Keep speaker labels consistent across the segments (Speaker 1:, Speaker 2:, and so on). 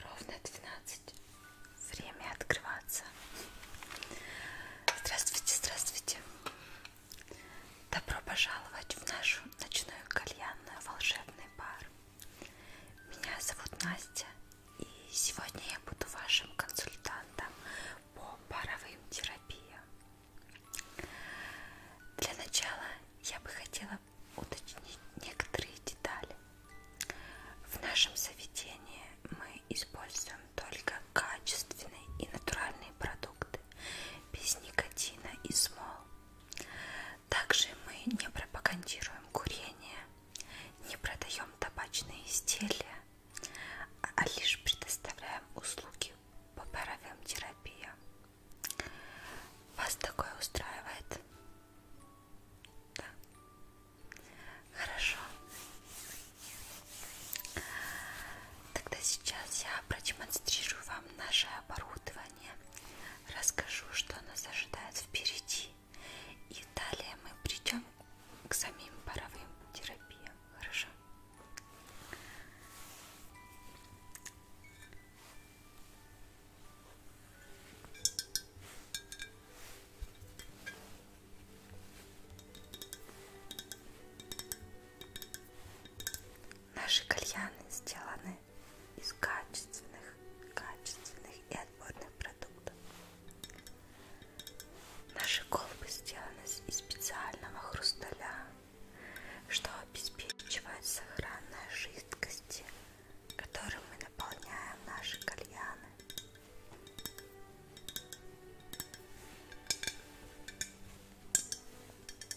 Speaker 1: Ровно 12. Время открываться. Здравствуйте, здравствуйте. Добро пожаловать в нашу ночную кальянную волшебный бар. Меня зовут Настя, и сегодня я буду вашим консультантом по паровым терапиям. Для начала я бы хотела уточнить некоторые детали. В нашем заведении мы используем только качественные и натуральные продукты без никотина и смол. Также мы не пропагандируем курение, не продаем табачные изделия, а лишь предоставляем услуги по паровым терапиям. Вас такое устраивает? Да. Хорошо. Тогда сейчас я продемонстрирую вам наше оборудование оборудование, расскажу, что нас ожидает впереди, и далее мы придем к самим паровым терапиям. Хорошо? Наши кальяны сделаны сделаны из качественных, качественных и отборных продуктов. Наши колбы сделаны из специального хрусталя, что обеспечивает сохранность жидкости, которым мы наполняем наши кальяны.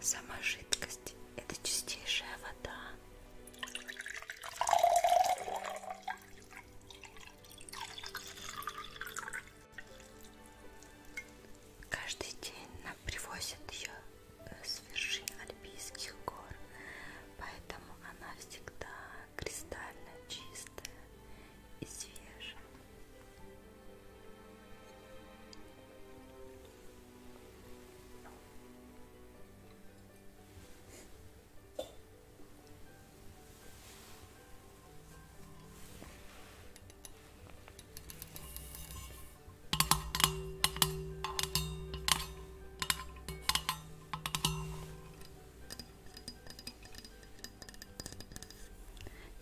Speaker 1: Сама жидкость – это чистейшая вода. Каждый день нам привозят ее э, с вершин Альпийских гор поэтому она всегда кристально чистая и свежая.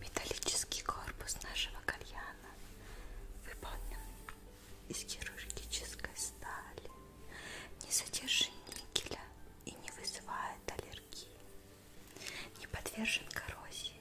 Speaker 1: Металлический корпус нашего кальяна выполнен из хирургической стали, не содержит никеля и не вызывает аллергии, не подвержен коррозии.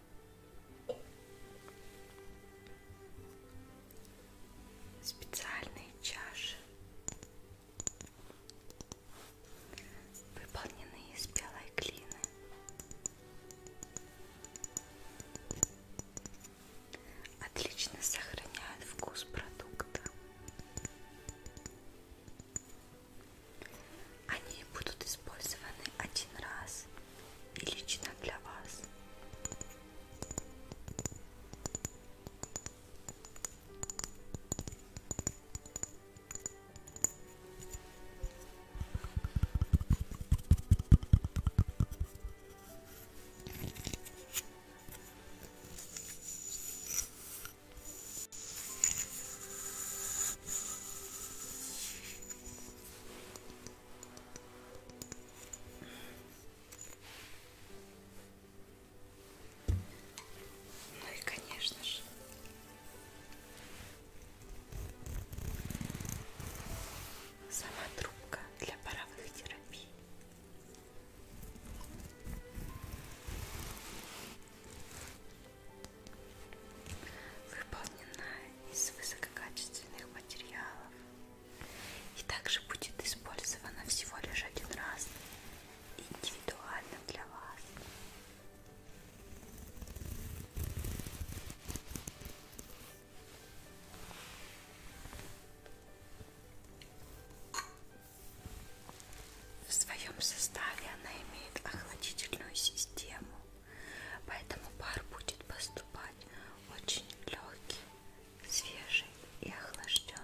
Speaker 1: Специальные чаши выполнены из белой глины. Отлично сохраняют вкус продукта. Они будут использованы один раз и лично для вас. Ну и, конечно же, сама трубка для паровых терапий выполнена из высококачественных материалов и также будет использована всего лишь один раз индивидуально для вас. В своем составе она имеет охладительную систему, Поэтому пар будет поступать очень легкий, свежий и охлажденный.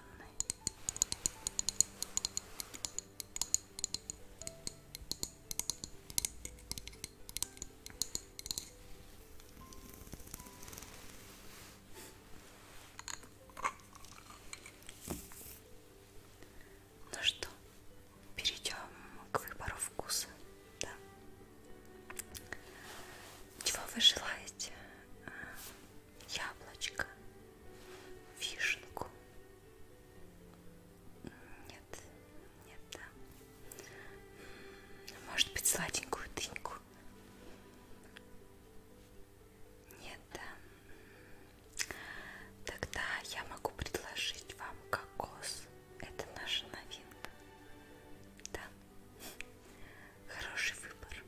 Speaker 1: Ну что, перейдем к выбору вкуса, да? Чего вы желаете? А, яблочко, вишенку? Нет, нет, да. Может быть, сладенькую дыньку? Нет, да. Тогда я могу предложить вам кокос. Это наша новинка. Да. Хороший выбор.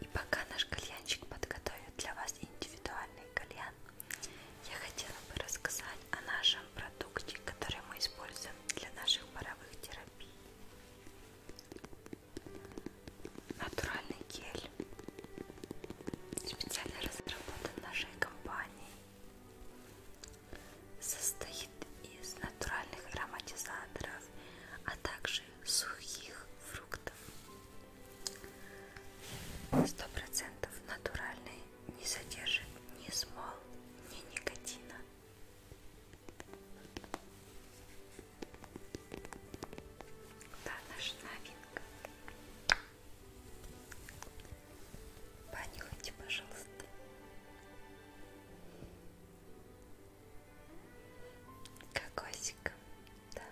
Speaker 1: И пока наш кальянчик подготовит для вас индивидуальный кальян, я хотела бы рассказать о нашем продукте, который мы используем для наших паровых терапий натуральный гель, специально разработан нашей компанией, состоит из натуральных ароматизаторов, а также сухих фруктов. 100% натуральный, не содержит ни смол, ни никотина. Да, наша новинка. Понюхайте, пожалуйста. Кокосиком, да.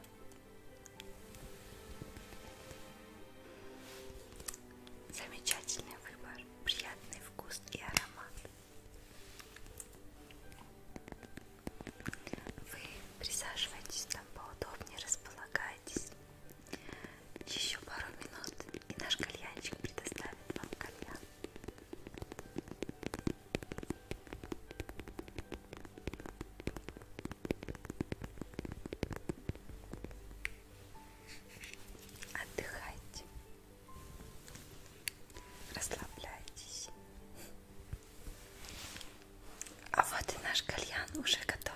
Speaker 1: Замечательный выбор, приятный вкус и аромат. Вы присаживайтесь там поудобнее, располагайтесь. Еще пару минут, и наш кальянчик предоставит вам кальян. Отдыхайте, расслабляйтесь. А вот и наш кальян уже готов.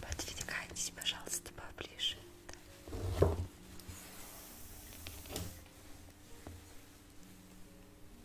Speaker 1: Подвигайтесь, пожалуйста, поближе. Да.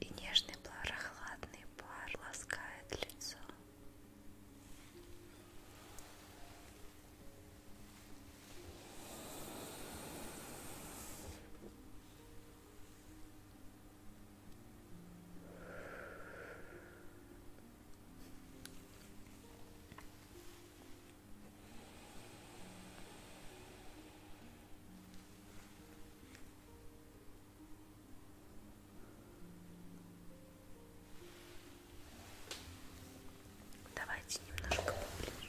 Speaker 1: И нежный прохладный пар ласкает лицо. Давайте немножко поближе.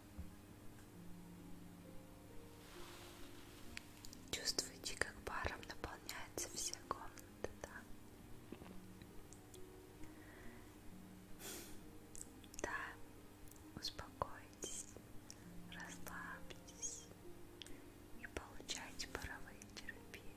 Speaker 1: Чувствуете, как паром наполняется вся комната, да? Да, успокойтесь, расслабьтесь и получайте паровые терапии.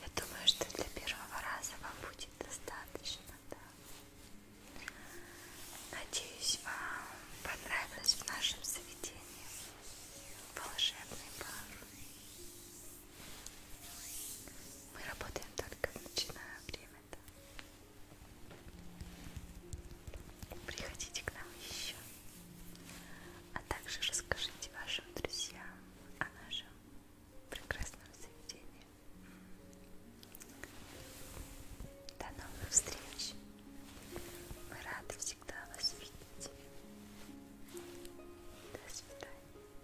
Speaker 1: Я думаю, что для первого раза вам будет достаточно, да. Надеюсь, вам понравилось в нашем заведении волшебный пар. Мы работаем только в ночное время. -то. Приходите к нам еще. А также расскажите вашим друзьям о нашем прекрасном заведении. До новых встреч! Мы рады всегда вас видеть. До свидания.